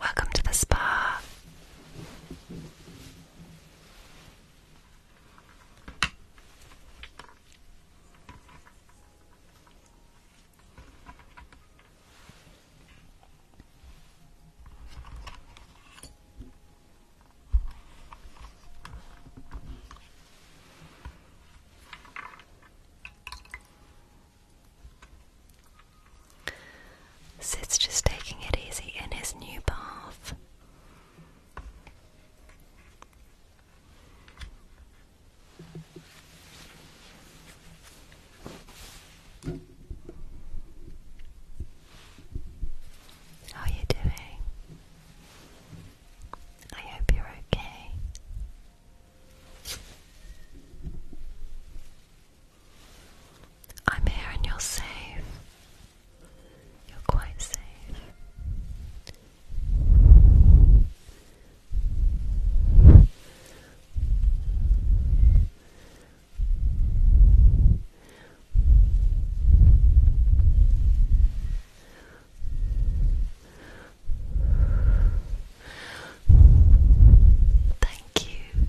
Welcome to the spa. Sid's just taking it easy in his new bath. How are you doing? I hope you're okay. I'm here and you're safe. You're quite safe. Thank you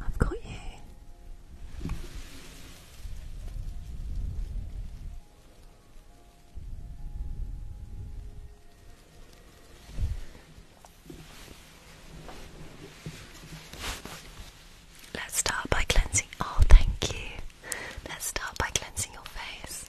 I've got you. Let's start by cleansing. Oh, thank you. Let's start by cleansing your face.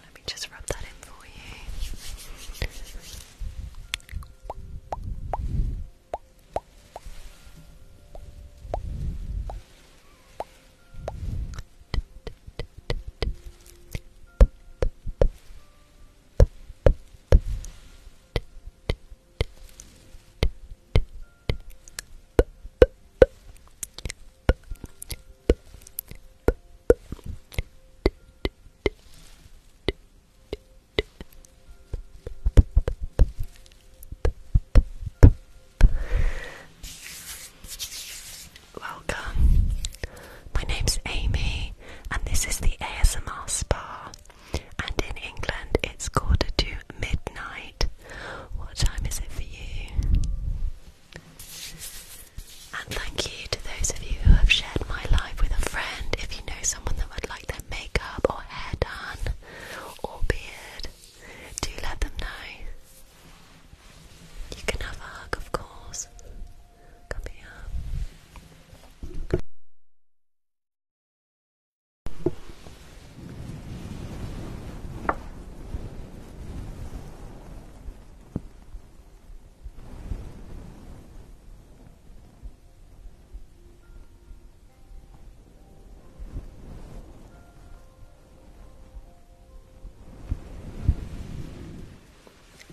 Let me just rub that in for you. Good. Welcome. My name's Amy, and this is the ASMR Spa. And in England, it's quarter to midnight. What time is it for you? And thank you to those of you who have shared my life with a friend. If you know someone that would like their makeup or hair done or beard, do let them know. You can have a hug, of course. Come here.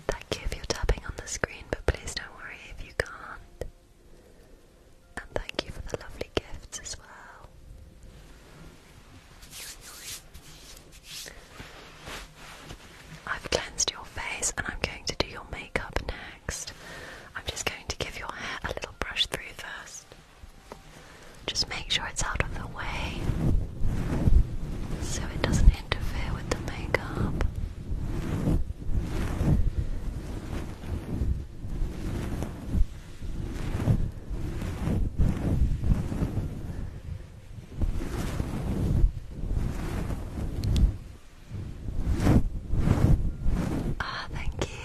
Thank you if you're tapping on the screen, but please don't worry if you can't. And thank you for the lovely gifts as well. I've cleansed your face and I'm going to do your makeup next. I'm just going to give your hair a little brush through first. Just make sure it's out of the way so it doesn't interfere with the makeup. Ah, thank you.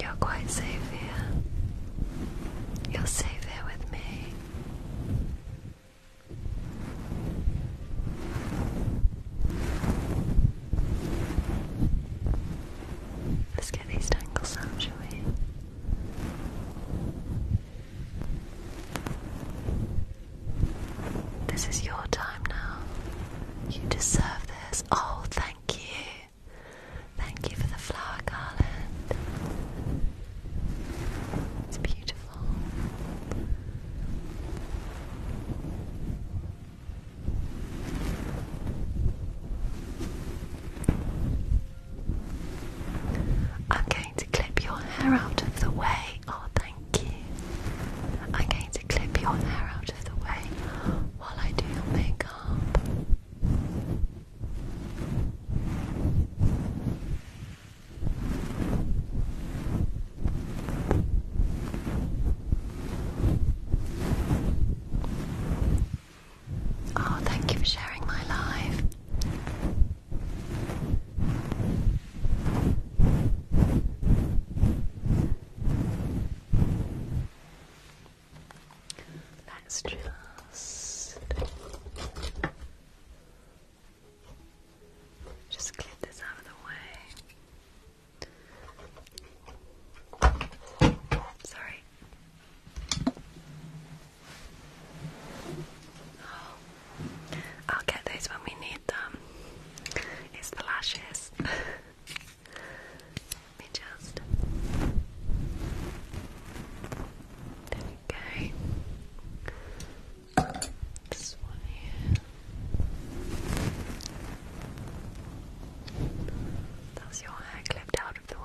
You're quite safe here. You're safe here with me. Let's get these tangles out, shall we? This is your time now. You deserve this. Oh, thank you. Thank you for the flower garland. It's beautiful. I'm going to clip your hair out of the way. Oh, thank you. I'm going to clip your hair out of the way while I do your makeup. Oh, thank you for sharing my life let just just clear out of the way. Sorry. Oh, I'll get those when we need them. It's the lashes. Let me just. There we go. This one here. That's your hair clipped out of the way.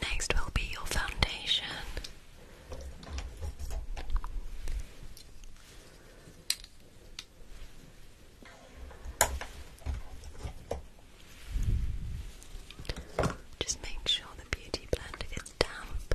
Next will be your foundation. Just make sure the beauty blender is damp.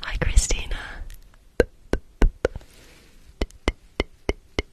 Hi, Christina.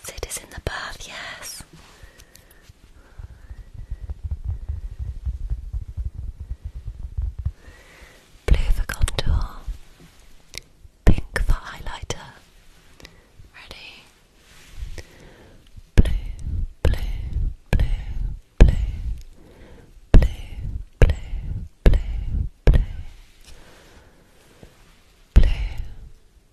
Sit is in the bath, yes. Blue for contour, pink for highlighter. Ready? blue, blue, blue, blue, blue, blue, blue, blue,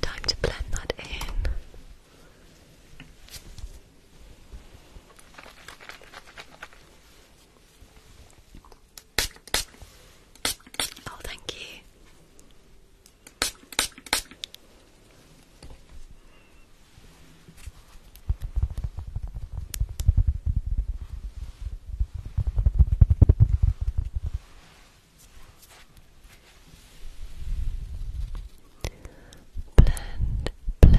Time to blend that in. Oh, thank you. Blend, blend, blend, blend, blend, blend,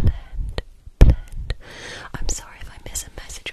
blend. I'm sorry if I miss a message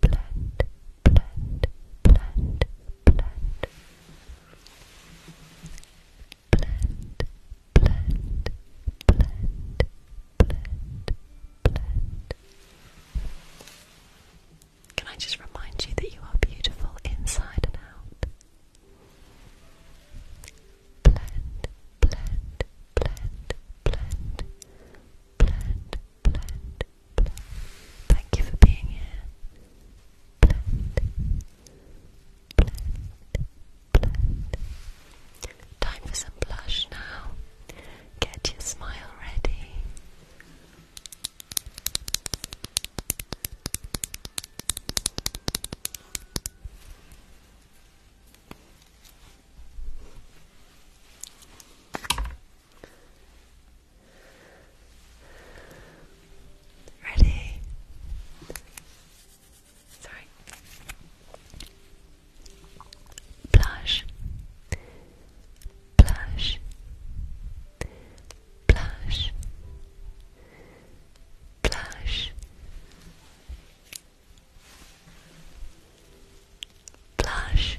blend, blend, blend, blend. Blend, blend, blend, blend, blend. Can I just remind you that you are beautiful inside and out? Blend, blend, blend, blend, blend, blend, blend. Thank you for being here. Blend, blend, blend. Time for some blush now. Get your smile ready. Ready? Sorry. Blush. Blush. Blush. Blush. Blush. Blush.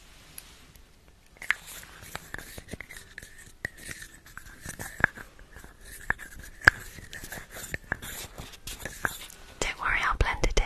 Don't worry, I'll blend it in.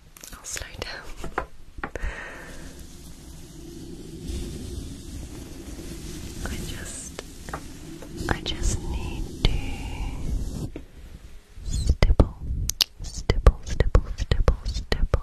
I'll slow down. I just, I just need to stipple, stipple, stipple, stipple, stipple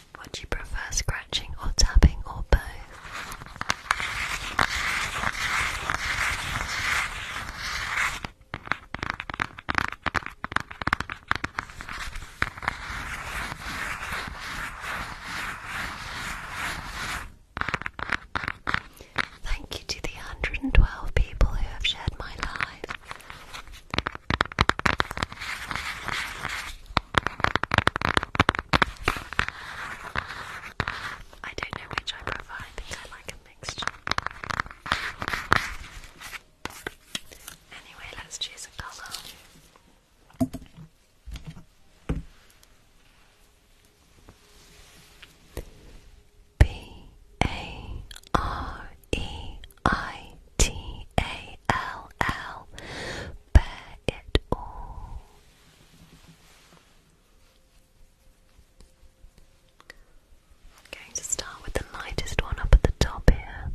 Would you prefer scratching or tapping or both? Thank you to the 112 people who have shared my live. I don't know which I prefer, I think I like a mixture. Anyway, let's choose a colour. B A R E I T A L L Bear it all I'm going to start with the lightest one up at the top here.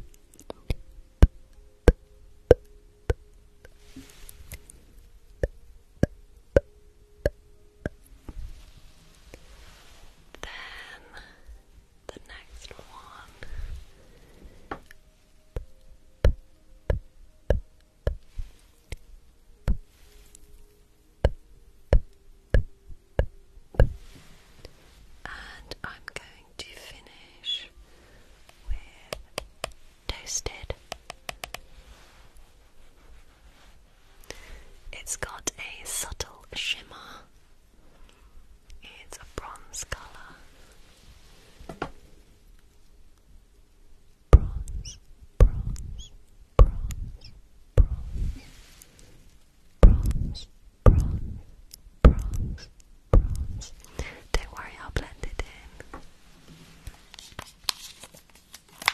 Then the next one. And I'm going to finish with toasted. It's got a subtle shimmer. It's a bronze colour bronze, bronze, bronze, bronze, bronze, bronze, bronze, bronze. Don't worry, I'll blend it in. Just have a look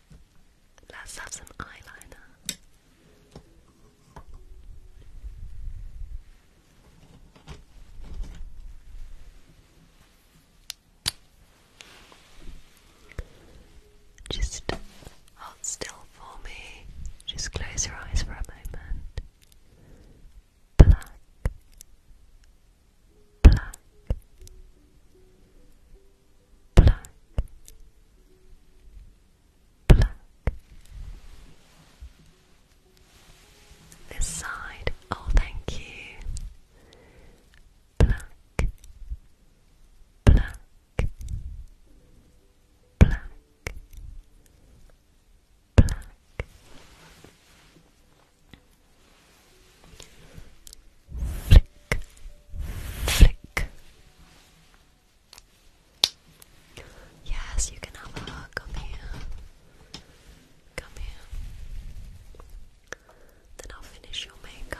Let's have some eyeliner. Just hold still for me. Just close your eyes for a moment. Black, black, black, black. This side, oh, thank you. Black, black, black, black. Flick, flick, Yes, you can have a hug. Come here. Come here. Then I'll finish your makeup.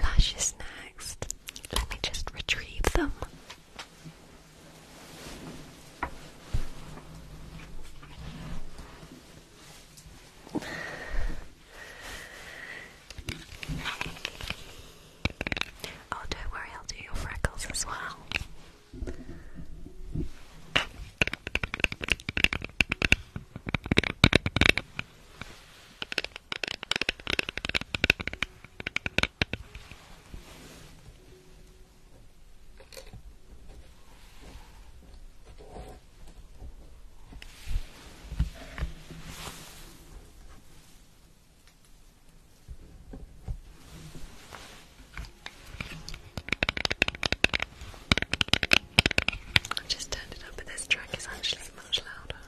Lashes next. Let me just retrieve them. Oh, don't worry, I'll do your freckles as well. I've just turned it up, but this track is actually much louder.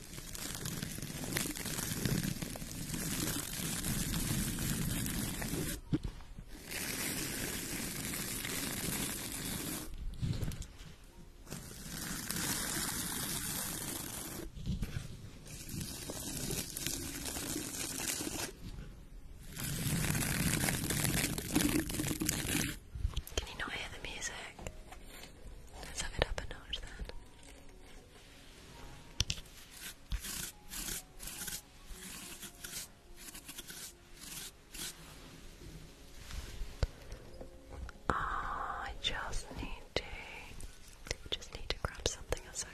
Can you not hear the music? Let's have it up a notch then. I just need to just need to grab something a second.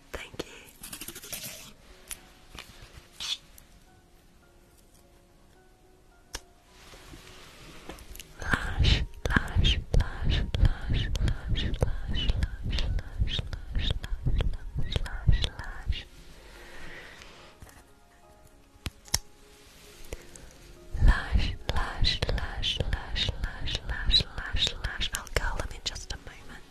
Thank you. Lash, lash, lash, lash, lash, lash, lash, lash, lash, lash, lash, lash, lash. Lash, lash, lash, lash, I'll curl them in just a moment.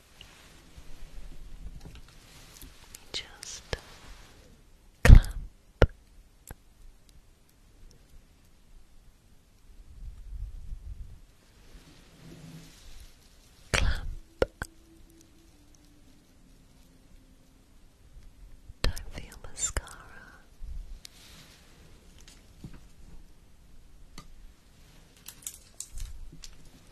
just clamp clamp don't feel mascara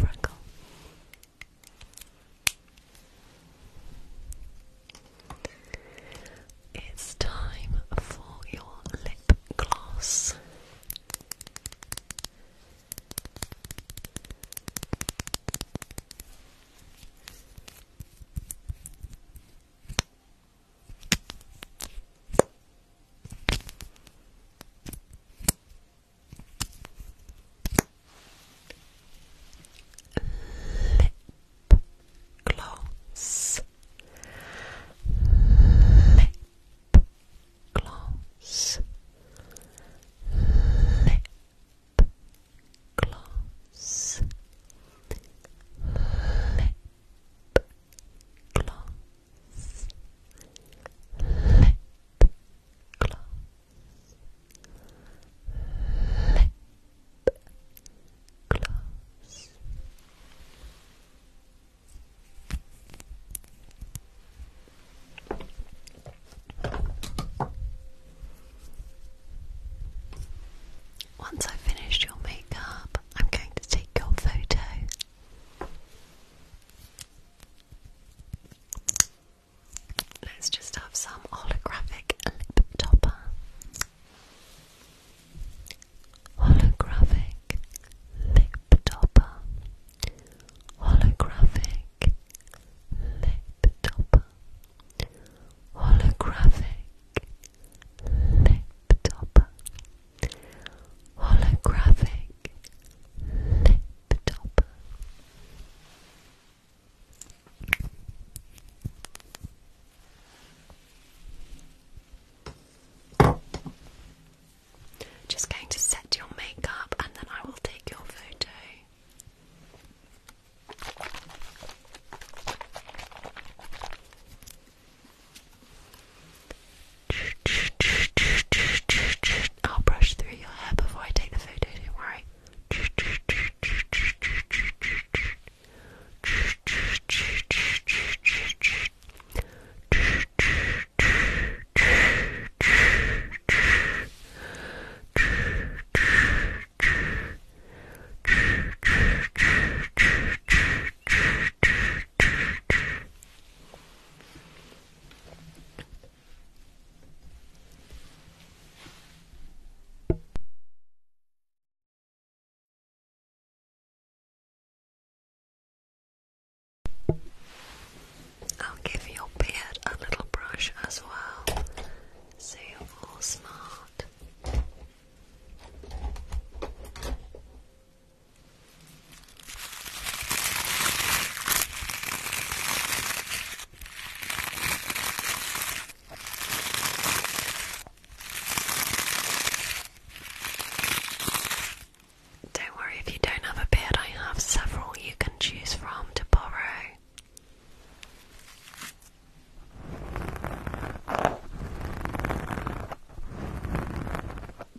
Freckle. It's time for your lip gloss lip gloss lip gloss lip gloss lip gloss lip gloss, lip gloss. Once I've finished your makeup, I'm going to take your photo. Let's just have some holographic lip topper. Holographic lip topper. Holographic lip topper. Holographic lip topper holographic lip topper. Just going to set your makeup and then I will take your photo. I'll brush through your hair before I take the photo, don't worry. I'll give your beard a little brush as well, so you're all smart. Don't worry if you don't have a beard, I have several you can choose from to borrow.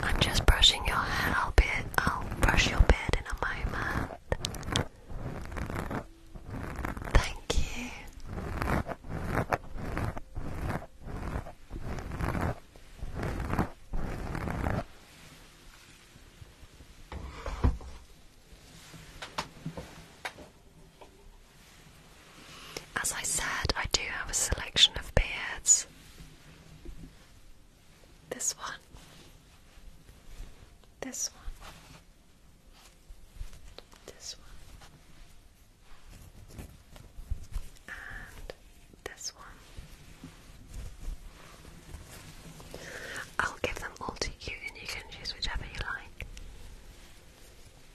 I'm just brushing your hair. I'll I'll brush your bed in a moment. Thank you. As I said, I do have a selection of beards. This one, this one, this one, and this one. I'll give them all to you, and you can choose whichever you like.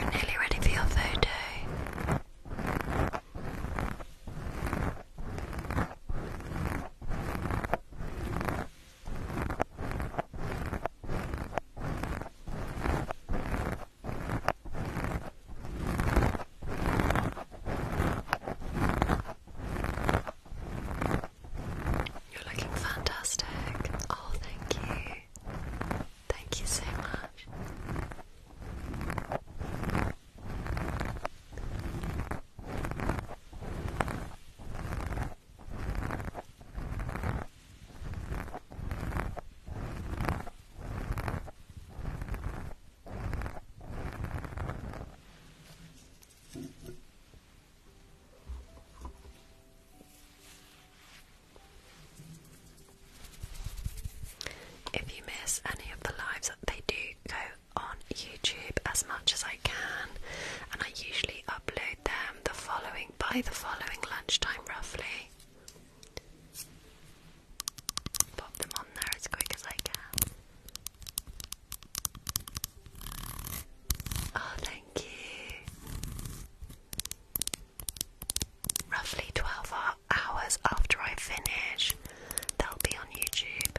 You're nearly ready for your photo. Good. You're looking fantastic. Oh, thank you. Thank you so much. If you miss any of the lives, that they do go on YouTube as much as I can, and I usually upload them the following by the following lunchtime roughly. Pop them on there as quick as I can. Oh, thank you. Roughly 12 hours after I finish, they'll be on YouTube.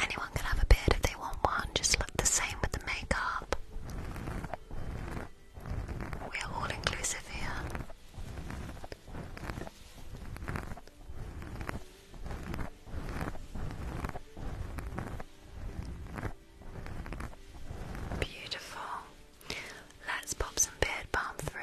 Anyone can have a beard if they want one, just look the same with the makeup. We are all inclusive here. Beautiful. Let's pop some beard balm through.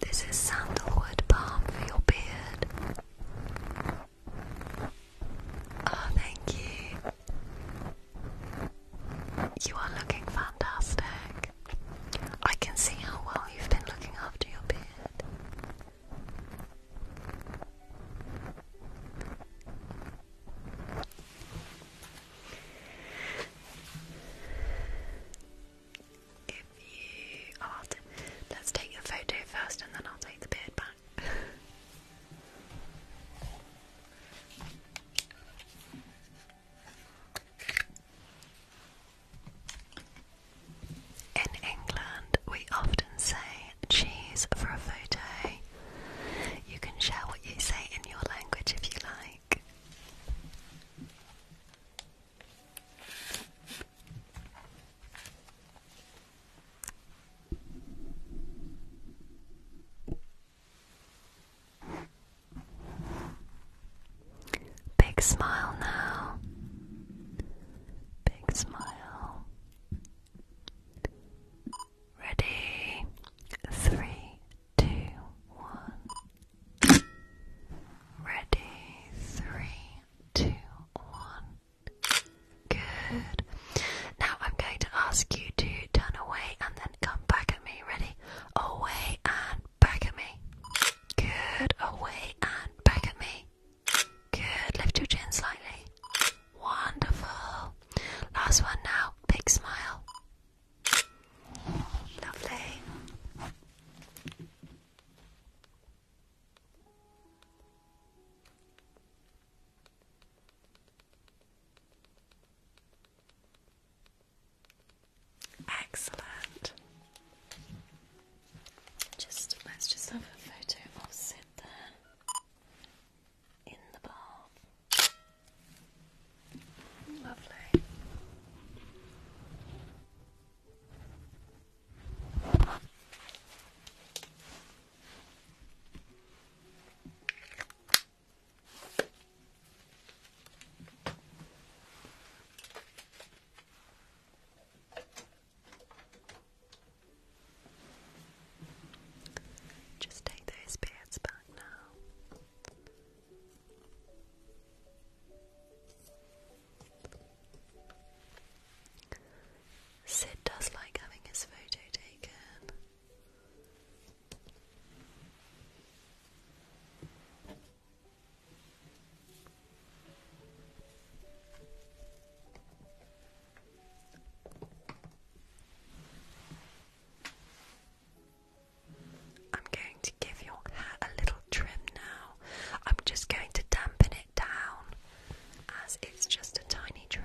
This is sandalwood balm for your beard. Oh, thank you. You are looking fantastic. I can see how well you've been looking after your beard. If you are, let's take your photo first and then I'll take the beard back. In England, we often say cheese for a photo. You can share what you say in your language if you like. Big smile now. Big smile. Ready? Three, two, one. Ready? Three, two, one. Good. Now I'm going to ask you to turn away and then come back at me. Ready? Away and back at me. Good. Away and back at me. Good. Lift your chin slightly. Wonderful. Last one now. Big smile. Lovely. Excellent. Just let's just have a photo of Sid there in the bath. Lovely. Just take those beards back now. Sid does like having his photo taken. I'm going to give your hat a little trim now. I'm just going to dampen it down as it's just a tiny trim.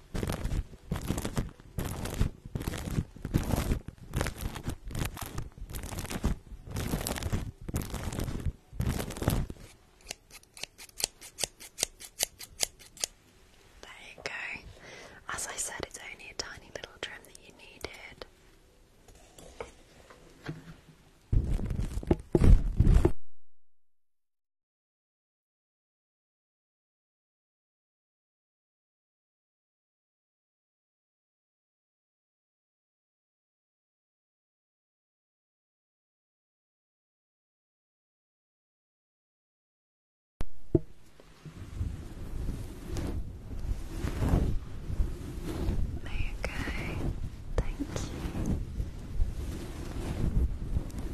There you go. As I said, it's only a tiny little trim that you needed. There you go. Thank you.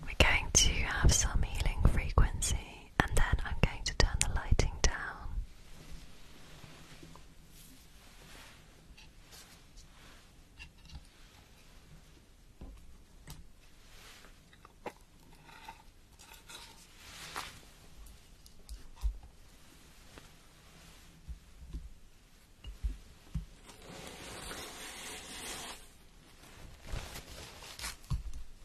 We're going to have some healing frequency and then I'm going to turn the lighting down.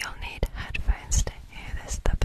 You'll need headphones to hear this the best.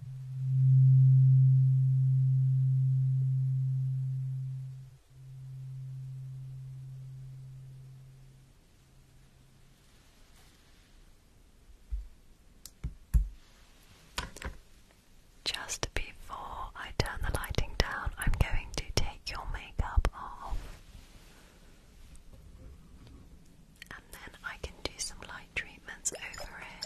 Just before I turn the lighting down, I'm going to take your makeup off. And then I can do some light treatments over it.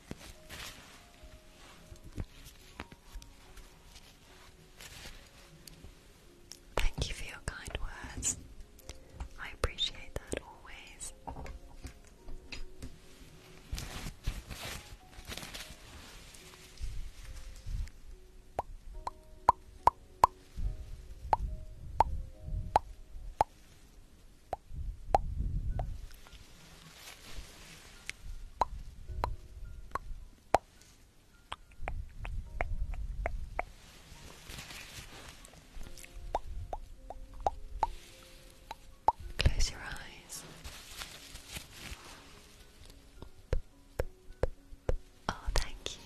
Thank you for your kind words. I appreciate that always. Close your eyes. Oh, thank you.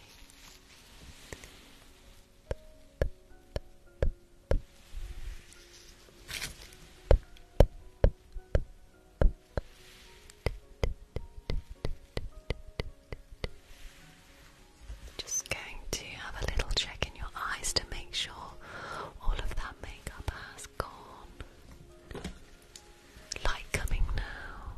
Just going to have a little check in your eyes to make sure all of that makeup has gone. Light coming now.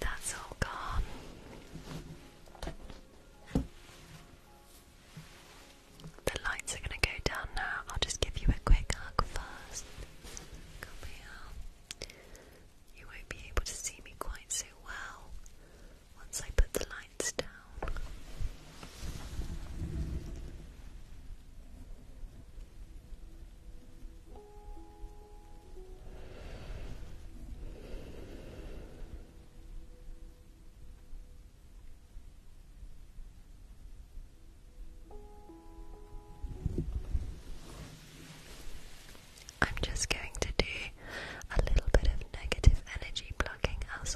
That's all gone. The lights are going to go down now. I'll just give you a quick hug first. You won't be able to see me quite so well once I put the lights down. I'm just going to do a little bit of negative energy blocking as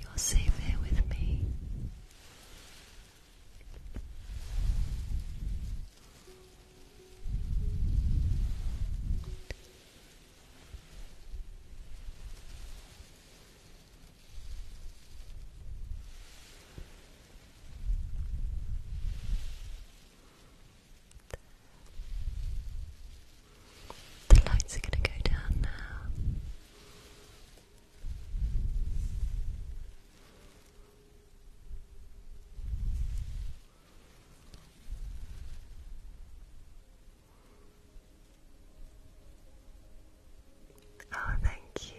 You're safe here with me. The lights are going to go down now. Oh, thank you.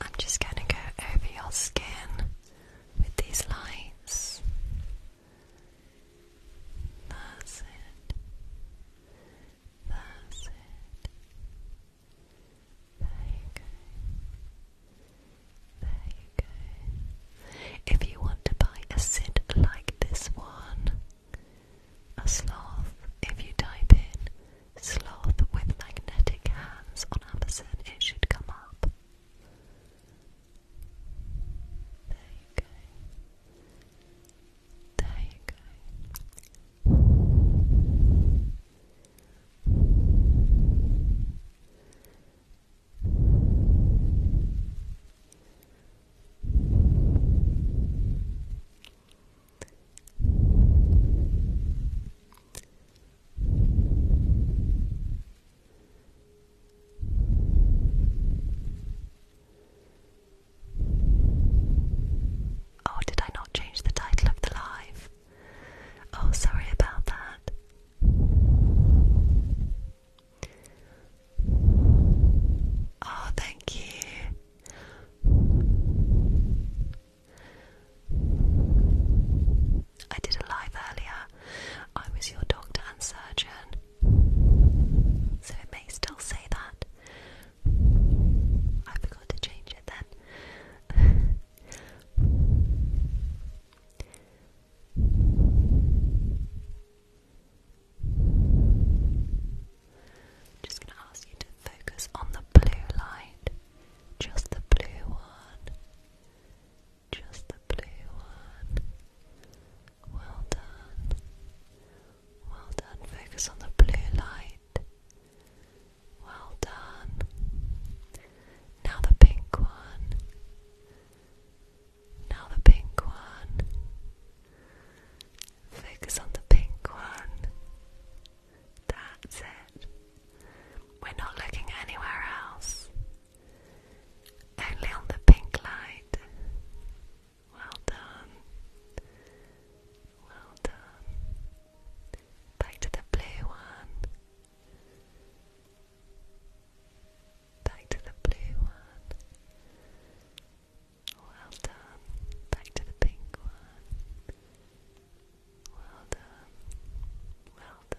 I'm just going to go over your skin with these lights. That's it. That's it. There you go. There you go. If you want to buy a sit like this one, a sloth, if you type in Sloth with magnetic hands on Amazon, it should come up. There you go. There you go. Oh, did I not change the title of the live? Oh, sorry about that. Oh, thank you. I did a live earlier. I was your doctor and surgeon. So it may still say that. I forgot to change it then just going to ask you to focus on the blue light. Just the blue one. Just the blue one. Well done. Well done. Focus on the blue light. Well done. Now the pink one. Now the pink one. Focus on the pink one. That's it. We're not looking anywhere else. Only on the pink light. Well done. Well done. Back to the blue one. Back to the blue one. Well done. Back to the pink one. Well done. Well done.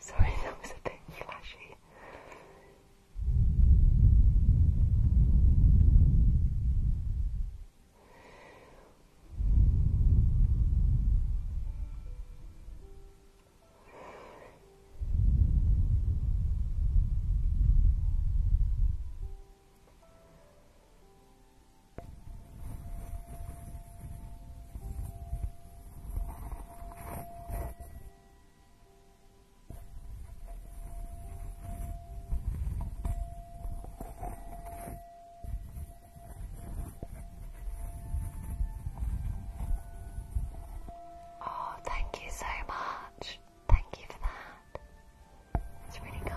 sorry, that was a bit flashy. Oh, thank you so much. Thank you for that. It's really kind.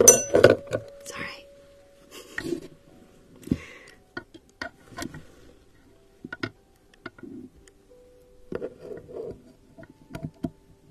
It's all right.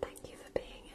Thank you for being here.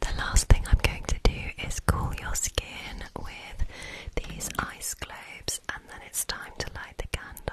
The last thing I'm going to do is cool your skin with these ice globes, and then it's time to light the candle.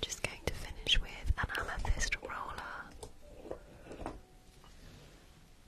Just going to finish with an amethyst roller.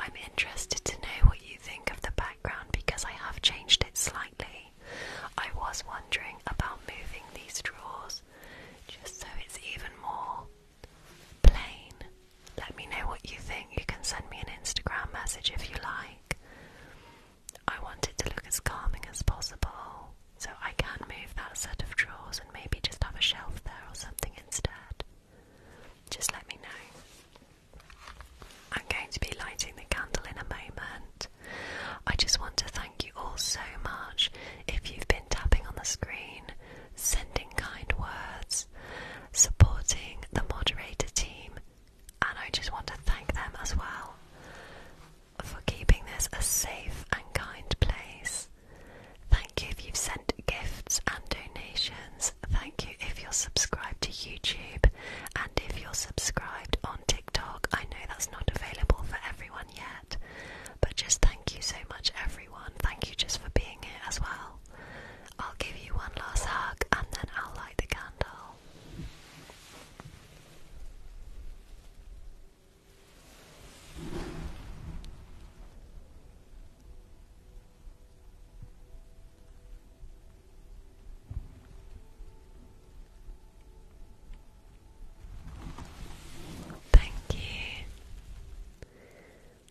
I'm interested to know what you think of the background because I have changed it slightly. I was wondering about moving these drawers just so it's even more plain. Let me know what you think. You can send me an Instagram message if you like. I want it to look as calming as possible, so I can move that set of drawers and maybe just have a shelf there or something instead. Just let me know. I'm going to be lighting the candle in a moment. I just want to thank you all so much if you've been tapping on the screen, sending kind words, supporting the moderator team, and I just want to thank them as well for keeping this a safe and kind place. Thank you if you've sent gifts and donations. Thank you if you're subscribed to YouTube and if you're subscribed on TikTok. I know that's not available for everyone yet, but just thank you so much, everyone. Thank you just for being here as well. I'll give you one last hug and then I'll light the candle. Thank you.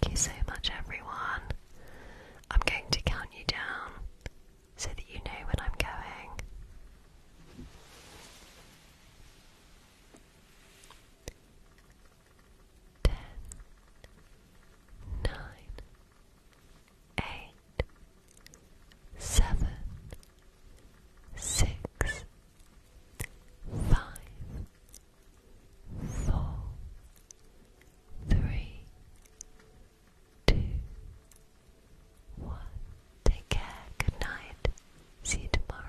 Thank you so much, everyone. I'm going to count you down so that you know when I'm going. Ten, nine, eight, seven, six, five, four, three, two, one. Take care, good night, see you tomorrow.